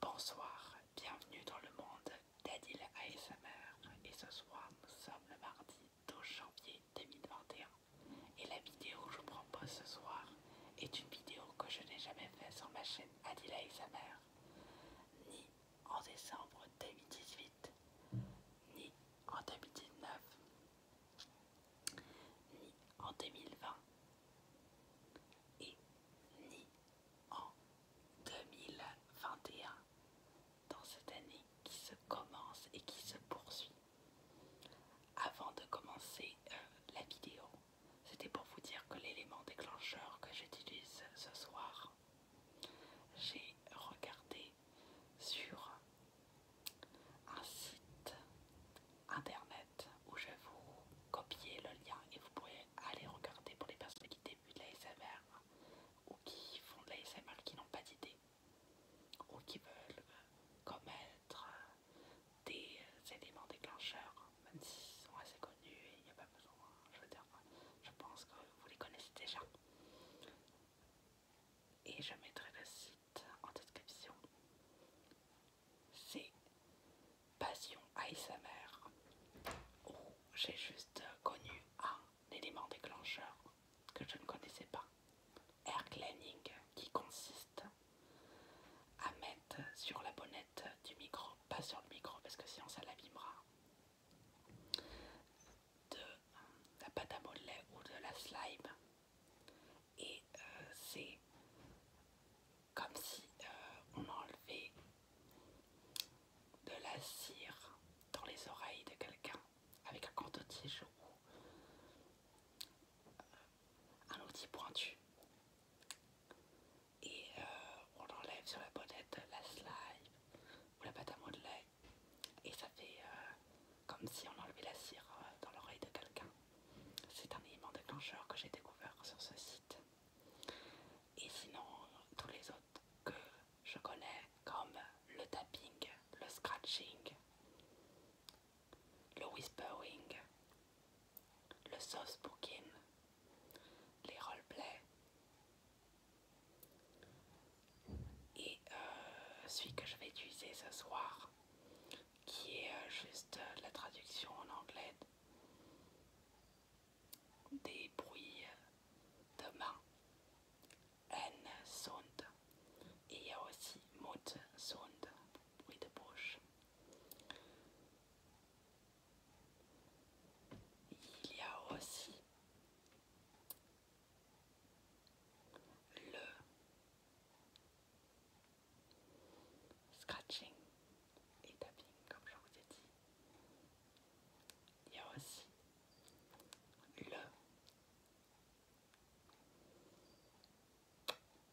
Bonsoir, bienvenue dans le monde d'Adil ASMR et ce soir nous sommes le mardi 12 janvier 2021 et la vidéo que je vous propose ce soir est une vidéo que je n'ai jamais faite sur ma chaîne Adil ASMR ni en décembre 2018 ni en 2019 ni en 2020 et ni en 2021 dans cette année qui se commence et qui se poursuit. Avant de commencer euh, la vidéo, c'était pour vous dire que l'élément déclencheur que j'utilise ce soir, j'ai regardé sur un site internet où je vais vous copier le lien et vous pourrez aller regarder pour les personnes qui débutent de l'ASMR ou qui font de l'ASMR qui n'ont pas d'idée ou qui veulent euh, commettre euh, des euh, éléments déclencheurs, même s'ils sont assez connus et il n'y a pas besoin, hein, je veux dire, je pense que vous les connaissez déjà. Et je mettrai le site en description c'est Passion ASMR, où oh, j'ai juste connu un élément déclencheur que je ne connaissais pas, air cleaning, qui consiste à mettre sur la bonnette du micro, pas sur le micro parce que sinon ça l'abîmera de la pâte à modeler ou de la slime, et euh, c'est comme si euh, on enlevait de la cire dans les oreilles de quelqu'un avec un tige ou euh, un outil pointu et euh, on enlève sur la bonnette la slime ou la pâte à modeler et ça fait comme si on enlevait la cire dans l'oreille de quelqu'un. C'est un élément déclencheur que j'ai découvert sur ce site. Et sinon, tous les autres que je connais, comme le tapping, le scratching, le whispering, le soft spoken, les roleplays. Et euh, celui que je vais utiliser ce soir, qui est euh, juste la traduction en anglais des bruits de main, N sonde et il y a aussi mod sonde, bruit de bouche. Il y a aussi le scratching et tapping comme je vous ai dit. Il y a aussi le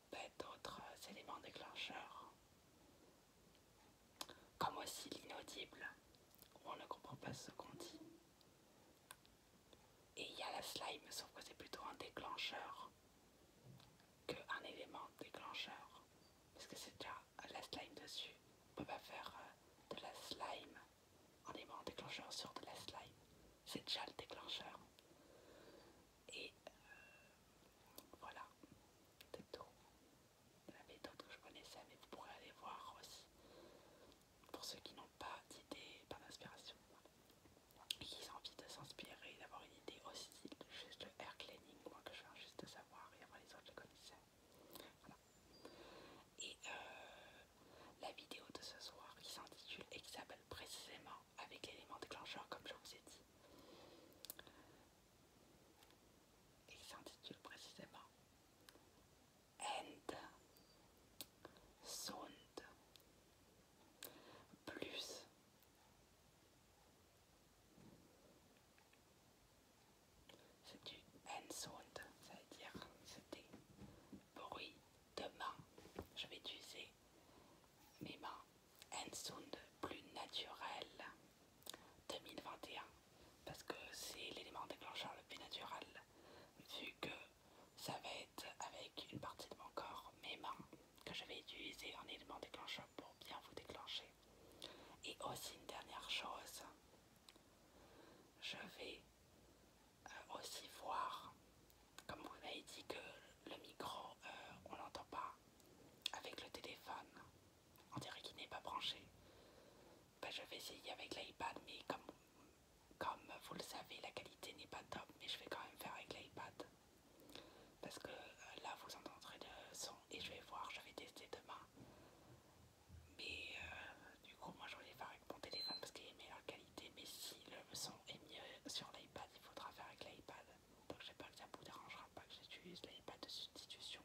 ben, d'autres éléments déclencheurs, comme aussi l'inaudible, où on ne comprend pas ce qu'on dit. Et il y a la slime, sauf que c'est plutôt un déclencheur qu'un élément déclencheur. Parce que c'est déjà la slime dessus. On peut pas faire euh, de la slime un élément déclencheur sur de la slime. C'est déjà le déclencheur. Et euh, voilà, c'est tout. que je connaissais, mais vous pourrez aller voir aussi. Pour ceux qui n'ont pas d'idée, pas d'inspiration, qui ont envie de s'inspirer, d'avoir une des hostiles juste le air cleaning, moi que je veux juste savoir et avant les autres je connaissais. Et euh, la vidéo de ce soir qui s'intitule et qui s'appelle précisément avec l'élément déclencheur comme je vous ai dit. Et qui s'intitule précisément end Sound plus c'est du sound, ça veut dire c'était bruit de main. Je vais utiliser mes mains. Hand sound plus naturelles 2021 parce que c'est l'élément déclencheur le plus naturel vu que ça va être avec une partie de mon corps, mes mains, que je vais utiliser en élément déclencheur pour bien vous déclencher et aussi une dernière chose, je vais euh, aussi voir, comme vous m'avez dit que le micro, euh, on l'entend pas avec le téléphone, on dirait qu'il n'est pas branché. Ben, je vais essayer avec l'iPad, mais comme, comme vous le savez, la qualité n'est pas top, mais je vais quand même faire avec l'iPad. Parce que euh, là vous entendrez le son et je vais voir, je vais tester demain. Mais euh, du coup moi je voulais faire avec mon téléphone parce qu'il est meilleure qualité. Mais si le son est mieux sur l'iPad, il faudra faire avec l'iPad. Donc j'ai pas le ça vous dérangera pas que j'utilise l'iPad de substitution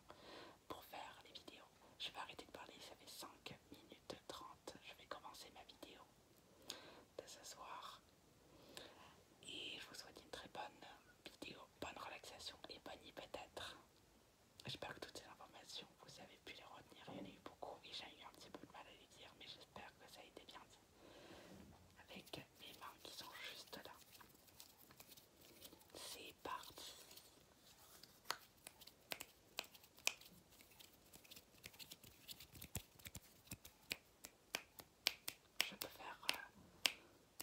pour faire les vidéos. Je vais arrêter de parler, ça fait 5 minutes 30. Je vais commencer ma vidéo de ce soir. Et je vous souhaite une très bonne vidéo bonne relaxation et bonne peut-être. J'espère que toutes ces informations, vous avez pu les retenir. Il y en a eu beaucoup et j'ai eu un petit peu de mal à les dire, mais j'espère que ça a été bien dit. Avec mes mains qui sont juste là. C'est parti. Je peux faire euh, je peux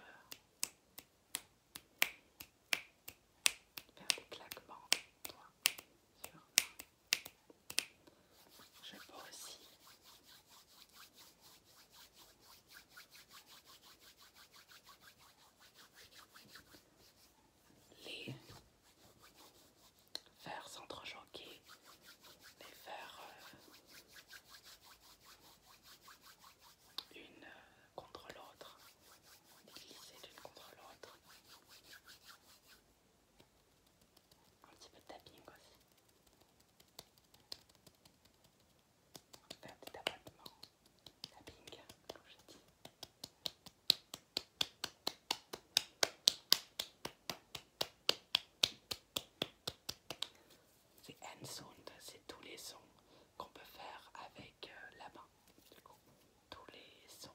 faire des claquements toi, sur moi. Je peux aussi les faire s'entrejoquer les faire une euh, contre l'autre, glisser l'une contre l'autre. Un petit peu de tapping aussi. faire des tapotement. Tapping, comme je dis. C'est hand sound, c'est tous les sons qu'on peut faire avec euh, la main. tous les sons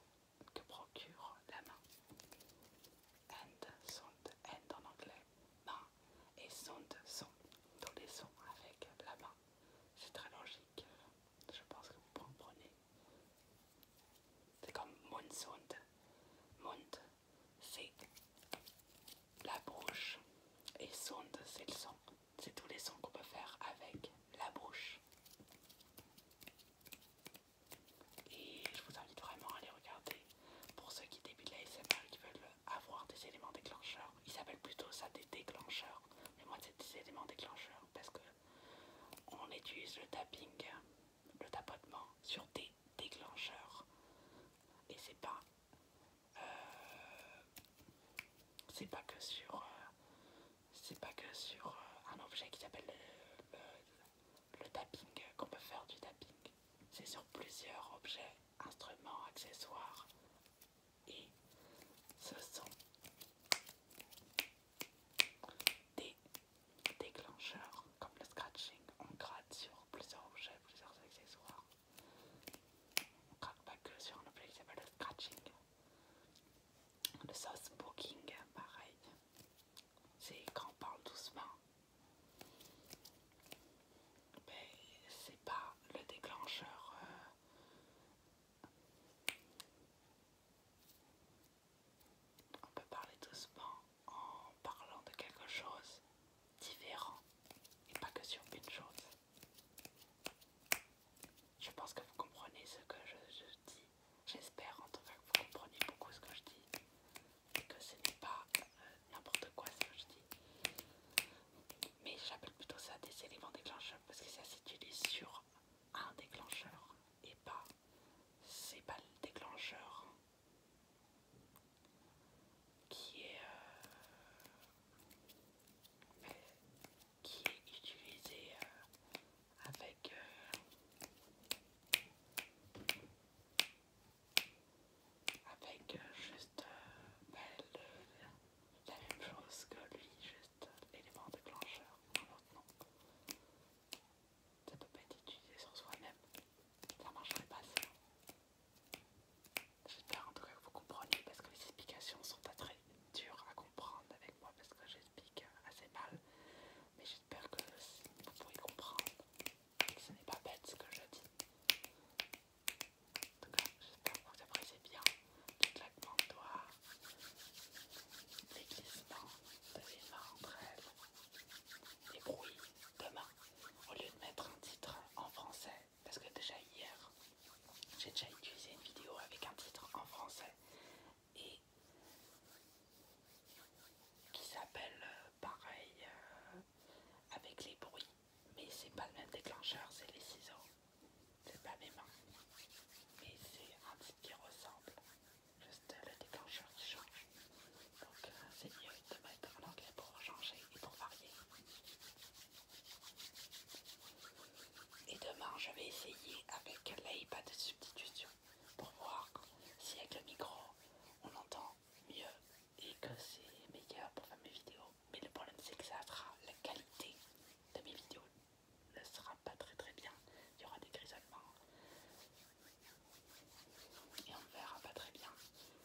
que procure la main. Hand sound, end en anglais, main et sound, Tous les sons avec la main. C'est très logique. Je pense que vous comprenez. C'est comme moon sound c'est la bouche et sound c'est le son. C'est tous les sons qu'on peut faire avec la bouche. Et je vous invite vraiment à les regarder. Pour ceux qui débutent la SMR et qui veulent avoir des éléments déclencheurs, ils s'appellent plutôt ça des déclencheurs. Mais moi c'est des éléments déclencheurs parce que on utilise le tapping, le tapotement sur des déclencheurs. Et c'est pas euh, c'est pas que sur euh, c'est pas que sur euh, un objet qui s'appelle le tapping qu'on peut faire du tapping c'est sur plusieurs objets instruments accessoires et ce sont des déclencheurs comme le scratching on gratte sur plusieurs objets plusieurs accessoires on ne craque pas que sur un objet qui s'appelle le scratching. Le sauce booking, pareil. C'est quand on parle doucement. Mais ben, c'est pas le déclencheur. Euh, on peut parler doucement en parlant de quelque chose différents et pas que sur une chose. Je pense que vous comprenez ce que je, dis. J'espère en tout cas que vous comprenez beaucoup ce que je dis et que ce n'est pas euh, n'importe quoi ce que je dis. Mais j'appelle plutôt ça des éléments déclencheurs parce que ça s'utilise sur un déclencheur et pas c'est pas le déclencheur qui est, euh, qui est utilisé euh, avec euh, avec juste bah, la même chose que lui, juste élément déclencheur, maintenant. Ça peut pas être utilisé sur soi-même, ça marcherait pas ça. J'espère en tout cas que vous compreniez parce que les explications sont très dures à comprendre avec moi parce que j'explique assez mal. Mais j'espère que vous pourrez comprendre que ce n'est pas bête ce que je dis. En tout cas, j'espère que vous appréciez bien toute la de doigts, les glissements de mes mains entre les bruits de mains. Au lieu de mettre un titre en français, parce que déjà hier j'ai déjà utilisé une vidéo avec un titre en français et qui s'appelle euh, pareil euh, avec les bruits mais c'est pas le même déclencheur c'est les ciseaux c'est pas mes mains mais c'est un titre qui ressemble juste le déclencheur qui change donc euh, c'est mieux de mettre en anglais pour changer et pour varier et demain, je vais essayer avec l'iPad de substitution pour voir si avec le micro on entend mieux et que c'est meilleur pour faire mes vidéos. Mais le problème, c'est que ça fera la qualité de mes vidéos ne sera pas très très bien. Il y aura des grisonnements et on ne verra pas très bien.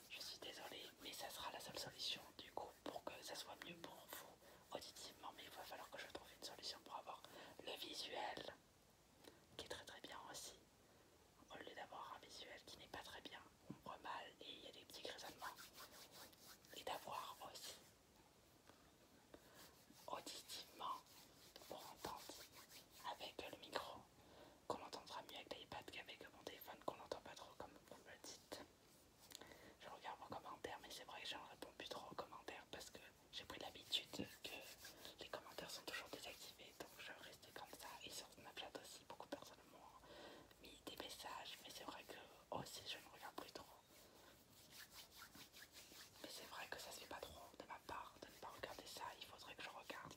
Je suis désolée, mais ça sera la seule solution du coup pour que ça soit mieux pour vous auditivement. Mais il va falloir que je trouve une solution pour avoir le visuel qui est très très bien aussi. Au lieu d'avoir un visuel qui n'est pas très bien, on voit mal et il y a des petits grisonnements. Et d'avoir aussi auditivement pour entendre avec le micro qu'on entendra mieux avec l'iPad qu'avec mon téléphone qu'on n'entend pas trop comme vous le dites je regarde vos commentaires mais c'est vrai que je ne réponds plus trop aux commentaires parce que j'ai pris l'habitude que les commentaires sont toujours désactivés. Donc je restais comme ça. Et sur Snapchat aussi, beaucoup de personnes m'ont mis des messages. Mais c'est vrai que aussi, oh, je ne regarde plus trop. Mais c'est vrai que ça se fait pas trop de ma part de ne pas regarder ça. Il faudrait que je regarde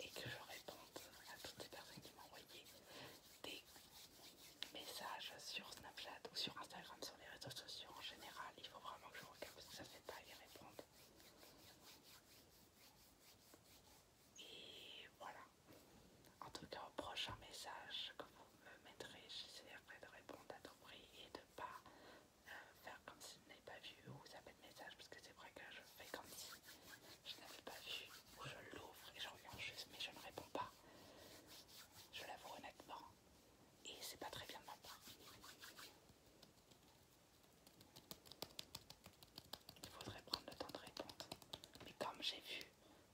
et que je réponde à toutes les personnes qui m'ont envoyé des messages sur Snapchat ou sur Instagram, sur les réseaux sociaux en général. Il faut vraiment que je regarde parce que ça fait pas y répondre. Et voilà. En tout cas, au prochain message que vous me mettrez, j'essaierai de répondre à tout prix et de ne pas euh, faire comme si n'ai pas vu ou vous avez de message parce que c'est vrai que je fais comme si je n'avais pas vu où je l'ouvre et je regarde juste mais je ne réponds pas. Je l'avoue honnêtement et c'est pas très bien de ma part. Il faudrait prendre le temps de répondre. Mais comme j'ai vu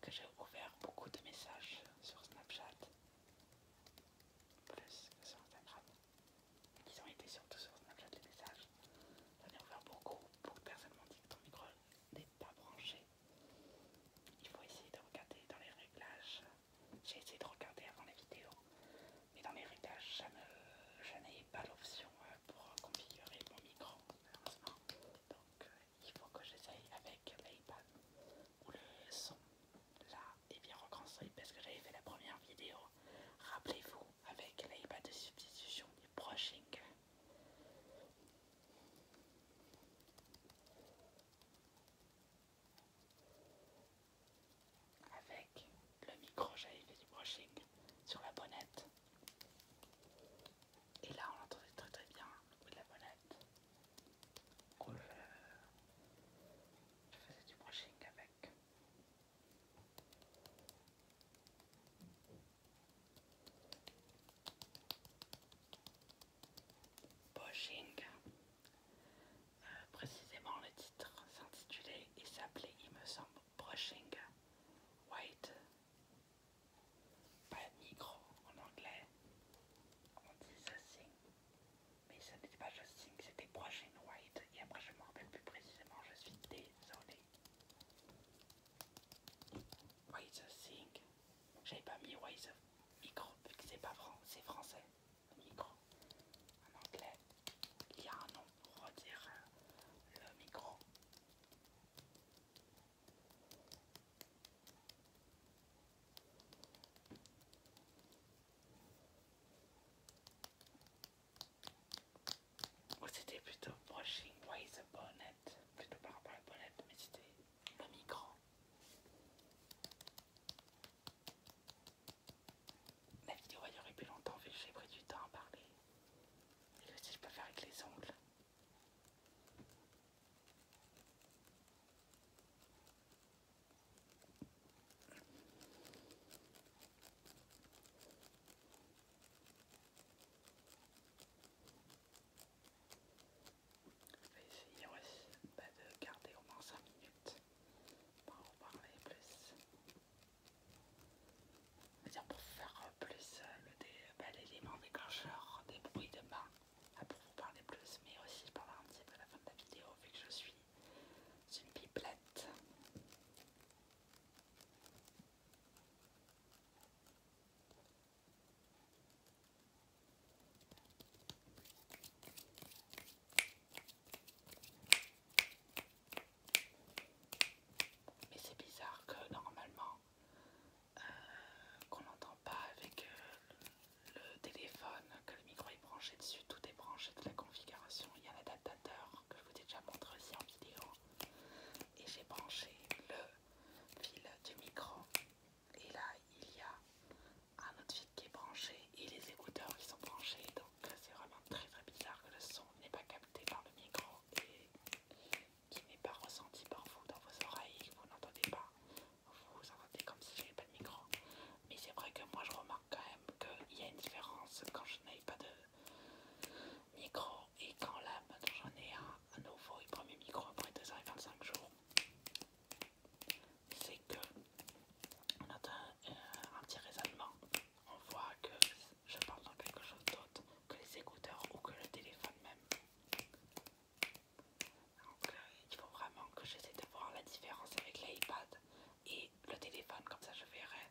que j'ai ouvert beaucoup de messages sur Snapchat, plus que sur Instagram, ils ont été surtout sur Snapchat les messages. J'en ai ouvert beaucoup pour personne ne dit que ton micro n'est pas branché. Il faut essayer de regarder dans les réglages. J'ai essayé de regarder avant la vidéo, mais dans les réglages, je n'avais pas l'option euh, pour configurer mon micro, Donc euh, il faut que j'essaye avec l'iPad ou le son là est bien reconstruit parce que j'avais fait la première vidéo Rappelez-vous, avec l'AIBA de substitution du brushing. Avec le micro j'avais du brushing sur la bonnette. Et là on entendait très très bien le de la bonnette. Euh, je faisais du brushing avec Brushing, euh, précisément le titre s'intitulait et s'appelait, il me semble, Brushing White, pas micro en anglais, on dit Thing, mais ça n'était pas justing, c'était Brushing White, et après je me rappelle plus précisément, je suis désolé. Ways of Think. J'avais pas mis Ways of Micro, vu que c'est pas fran français. Micro. En anglais, il y a un nom pour dire euh, le micro. Ou oh, c'était plutôt brushing with a bonnet, plutôt par rapport à la bonnet, mais c'était le micro. La vidéo a aurait plus longtemps vu que j'ai pris du temps à parler. Et aussi je peux faire avec les ongles. Je vais essayer aussi bah, de garder au moins 5 minutes pour vous parler plus. C'est-à-dire pour faire plus euh, bah, l'élément déclencheur des bruits de bain, ah, pour vous parler plus, mais aussi pour un petit peu à la fin de la vidéo vu que je suis une biplette. Mais c'est bizarre que normalement euh, qu'on n'entend pas avec euh, le téléphone que le micro est branché dessus, tout est branché de la configuration, il y a l'adaptateur que je vous ai déjà montré aussi en vidéo. Et j'ai branché le fil du micro. Et là, il y a un autre fil qui est branché et les écouteurs qui sont branchés. Donc c'est vraiment très très bizarre que le son n'est pas capté par le micro et qui n'est pas ressenti par vous dans vos oreilles, que vous n'entendez pas. Vous entendez comme si n'avais pas de micro. Mais c'est vrai que moi je remarque quand même qu'il y a une différence quand je n'ai pas de micro et quand là maintenant j'en ai un, nouveau le premier micro après 2 25 jours c'est que on a euh, un petit raisonnement on voit que je parle dans quelque chose d'autre que les écouteurs ou que le téléphone même donc euh, il faut vraiment que j'essaie de voir la différence avec l'iPad et le téléphone comme ça je verrai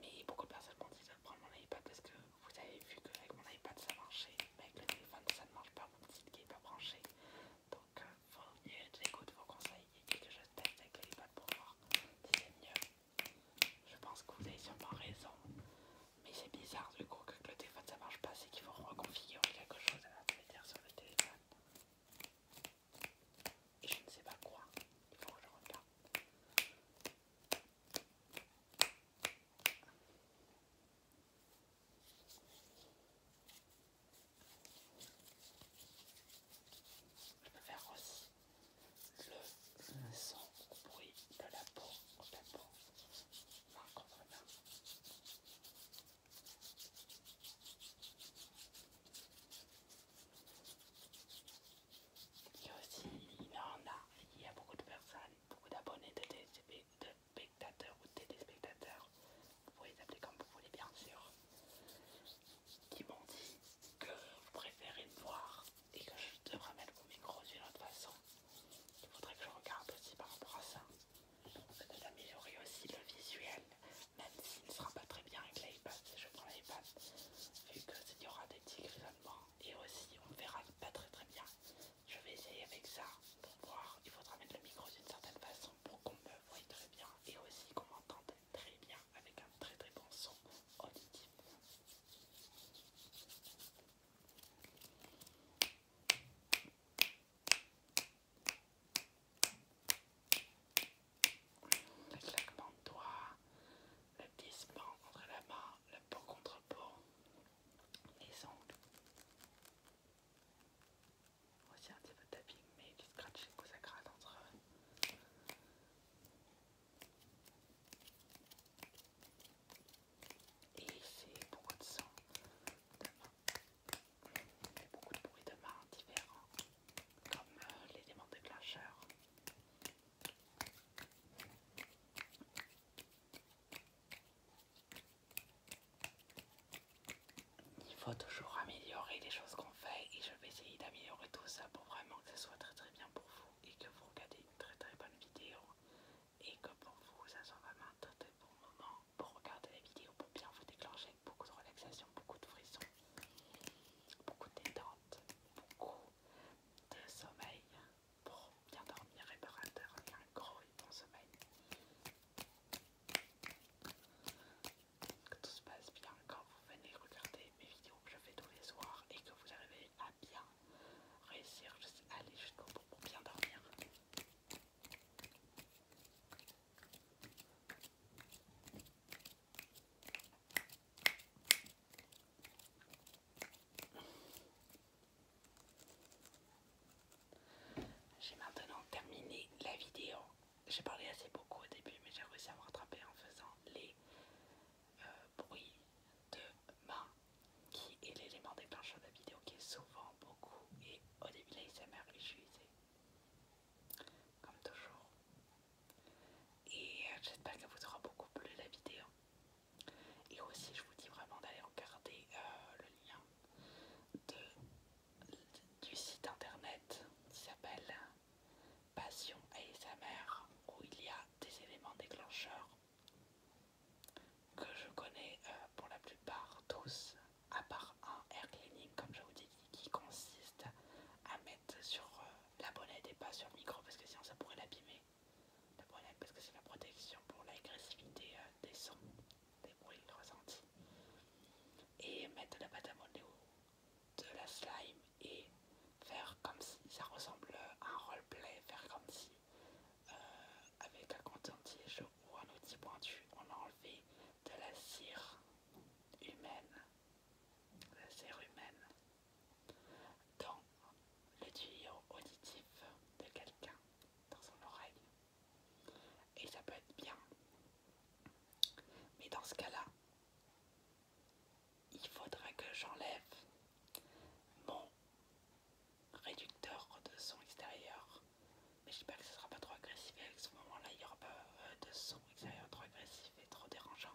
mais beaucoup de personnes m'ont dit de prendre mon iPad parce que vous avez vu qu'avec mon iPad ça marchait, mais avec le téléphone ça ne marche pas, mon petit n'est pas branché. Donc j'écoute euh, vos conseils et que je teste avec l'iPad pour voir si c'est mieux. Je pense que vous avez sûrement raison, mais c'est bizarre du coup que le téléphone ça marche pas, c'est qu'il faut reconfigurer quelque chose à l'intérieur sur le téléphone je ne sais pas quoi. Il faut que je regarde. Je peux faire aussi le son au bruit de la peau, de la peau, il y a aussi, il a, il y a beaucoup de personnes, beaucoup d'abonnés, de, spectateurs ou téléspectateurs, vous pouvez les appeler comme vous voulez bien sûr, qui m'ont dit que vous préférez le voir et que je devrais mettre mon micro d'une autre façon. Il faudrait que je regarde aussi par rapport à ça. améliorer aussi le visuel même s'il ne sera pas très bien avec l'iPad, je prends l'iPad, vu qu'il y aura des petits raisonnements et aussi on verra pas très très bien. Je vais essayer avec ça pour voir, il faudra mettre le micro d'une certaine façon pour qu'on me voie très bien, et aussi qu'on m'entende très bien avec un très très bon son auditif le claquement de doigts, le glissement entre la main, le peau contre peau, les ongles. Aussi un petit peu de tapping, mais juste scratching au ça entre eux. Et c'est beaucoup de sons de beaucoup de bruits de main différents comme l'élément déclencheur. Il faut toujours améliorer les choses qu'on fait et je vais essayer d'améliorer tout ça pour vraiment que ce soit très très bien pour vous et que vous regardez une très très bonne vidéo et que pour vous ça soit vraiment un très très bon moment pour regarder la vidéo pour bien vous déclencher beaucoup de relaxation, beaucoup de frissons beaucoup de détente, beaucoup de sommeil pour bien dormir, réparateur, un gros et bon sommeil. Que tout se passe bien quand vous venez regarder mes vidéos que je fais tous les soirs et que vous arrivez à bien réussir, juste aller jusqu'au bout pour bien dormir. J'ai maintenant terminé la vidéo. J'ai parlé assez beaucoup au début, mais j'ai réussi à me rattraper en faisant les euh, bruits de main, qui est l'élément déclencheur de la vidéo qui est souvent beaucoup. Et au début, je suis usée. Comme toujours, et euh, j'espère qu'elle vous aura beaucoup plu la vidéo. Et aussi je vous dis vraiment d'aller regarder euh, le lien du site internet qui s'appelle Passion mère où il y a des éléments déclencheurs que je connais euh, pour la plupart tous à part un air cleaning comme je vous dis qui consiste à mettre sur euh, la bonnette et pas sur le micro parce que sinon ça pourrait l'abîmer. La bonnette parce que c'est la protection pour l'agressivité euh, des sons, des bruits ressentis. Et mettre de la pâte à de la slime et faire comme si ça ressemble à un roleplay, faire comme si euh, avec un contentier ou un outil pointu on a enlevé de la cire humaine dans le tuyau auditif de quelqu'un, dans son oreille. Et ça peut être bien. Mais dans ce cas-là, il faudrait que j'enlève mon réducteur de son extérieur. Mais j'espère que ce sera pas trop agressif et à ce moment-là, il n'y aura pas euh, de son extérieur trop agressif et trop dérangeant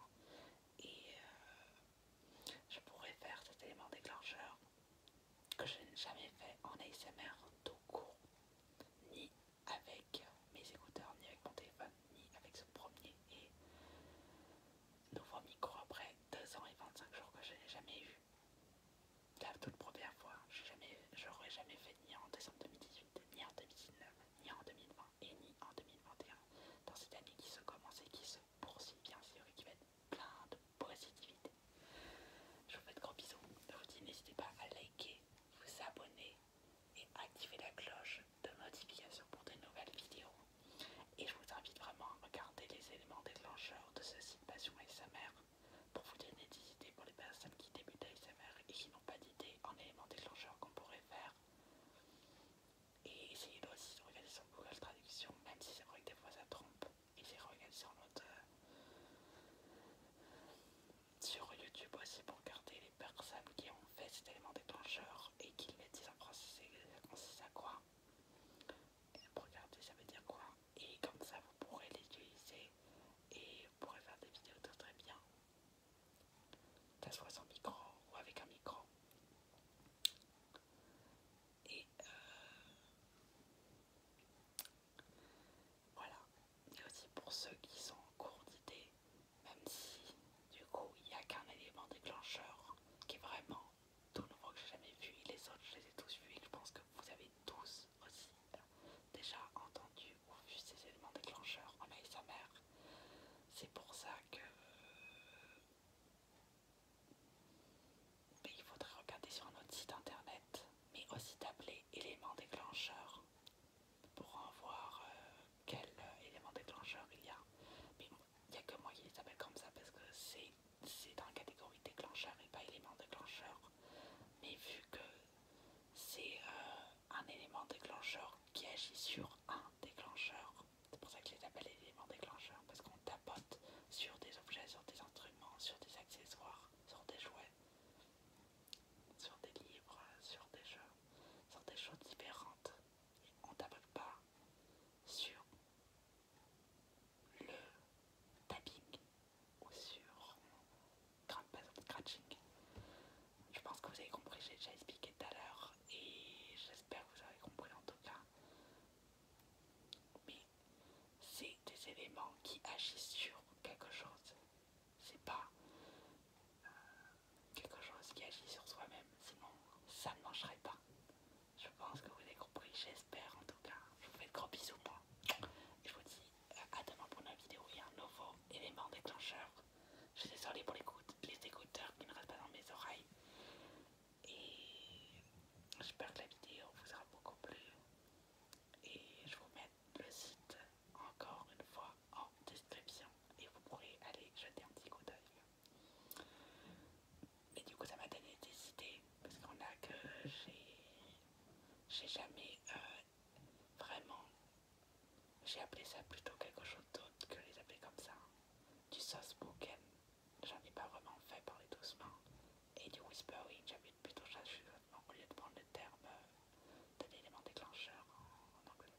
et euh, je pourrais faire cet élément déclencheur que je n'ai jamais fait en ASMR tout court, ni avec mes écouteurs, ni avec mon téléphone, ni avec ce premier et nouveau micro après 2 ans et 25 jours que je n'ai jamais eu. La toute première fois, je n'aurais jamais fait ni en décembre 2018 ni en 2019, ni en 2020 et ni en 2021. Dans cette année qui se commence et qui se poursuit bien sûr et qui va être plein de positivité. Je vous fais de gros bisous. Je vous dis n'hésitez pas à liker, vous abonner et activer la cloche de notification pour de nouvelles vidéos. Et je vous invite vraiment à regarder les éléments déclencheurs de ce site Passion ASMR pour vous donner des idées pour les personnes qui débutent ASMR et qui n'ont pas d'idées en éléments déclencheurs qu'on pourrait faire et essayez aussi de regarder sur Google Traduction, même si c'est vrai que des fois ça trompe. Essayez de regarder sur YouTube aussi pour regarder les personnes qui ont fait cet élément déclencheur et qui le disent en français, ça consiste à quoi et Pour regarder ça veut dire quoi Et comme ça vous pourrez l'utiliser et vous pourrez faire des vidéos très très bien. Soit sans micro ou avec un micro. Et euh, voilà. Et aussi pour ceux qui sont en cours d'idée, même si du coup il n'y a qu'un élément déclencheur qui est vraiment tout nouveau que j'ai jamais vu, les autres je les ai tous vus, je pense que vous avez tous aussi euh, déjà entendu vu ces éléments déclencheurs en mère, C'est pour ça que. Ben, il faudrait regarder sur un autre site internet, mais aussi d'appeler éléments déclencheur pour en voir euh, quel euh, élément déclencheur il y a. Mais il n'y a que moi qui les appelle comme ça parce que c'est dans la catégorie déclencheur et pas élément déclencheur. Mais vu que c'est euh, un élément déclencheur qui agit sur un déclencheurs, C'est pour ça que les appelle les éléments déclencheurs, parce qu'on tapote sur des objets, sur des instruments, sur des accessoires, sur des jouets, sur des livres, sur des jeux, sur des choses différentes. On tapote pas sur le tapping ou sur scratching je pense que vous avez compris, j'ai déjà expliqué tout à l'heure et j'espère que vous avez compris en tout cas. Mais c'est des éléments qui agissent sur quelque chose. C'est pas euh, quelque chose qui agit sur soi-même, sinon ça ne mangerait pas. Je pense que vous avez compris, j'espère en tout cas. Je vous fais de gros bisous moi. je vous dis euh, à demain pour une vidéo et un nouveau élément déclencheur. Je suis pour les, écouteurs qui ne restent pas dans mes oreilles. Et j'espère que la vidéo vous aura beaucoup plu. Et je vous mets le site encore une fois en description. Et vous pourrez aller jeter un petit coup d'œil. Et du coup ça m'a donné des idées. Parce qu'on a que j'ai jamais euh, vraiment j'ai appelé ça plutôt quelque chose d'autre que les appeler comme ça. Du sauce bouquet, j'en ai pas vraiment fait parler doucement. Et du whispering, j'avais plutôt cherché, au lieu de prendre le terme euh, d'un élément déclencheur en, anglais.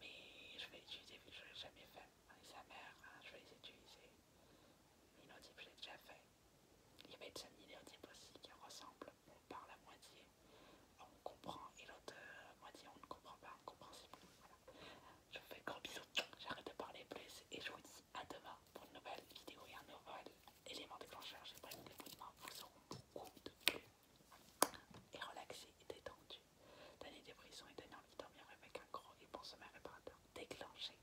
Mais je vais utiliser vu que je l'ai jamais fait. Avec sa mère, hein, je vais les utiliser. je l'ai déjà fait. Il va être une de aussi qui ressemble par la moitié on comprend et l'autre euh, moi moitié on ne comprend pas, on comprend si bon. Je vous fais de gros bisous, j'arrête de parler plus et je vous dis à demain pour une nouvelle vidéo et un nouvel élément déclencheur. J'espère que les bruits vous seront beaucoup de plus et relaxés et détendus. Donner des et daniel envie de avec un gros et bon réparateur déclenché.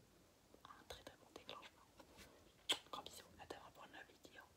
Un très très bon déclenchement. Gros bisous, à demain pour une nouvelle vidéo.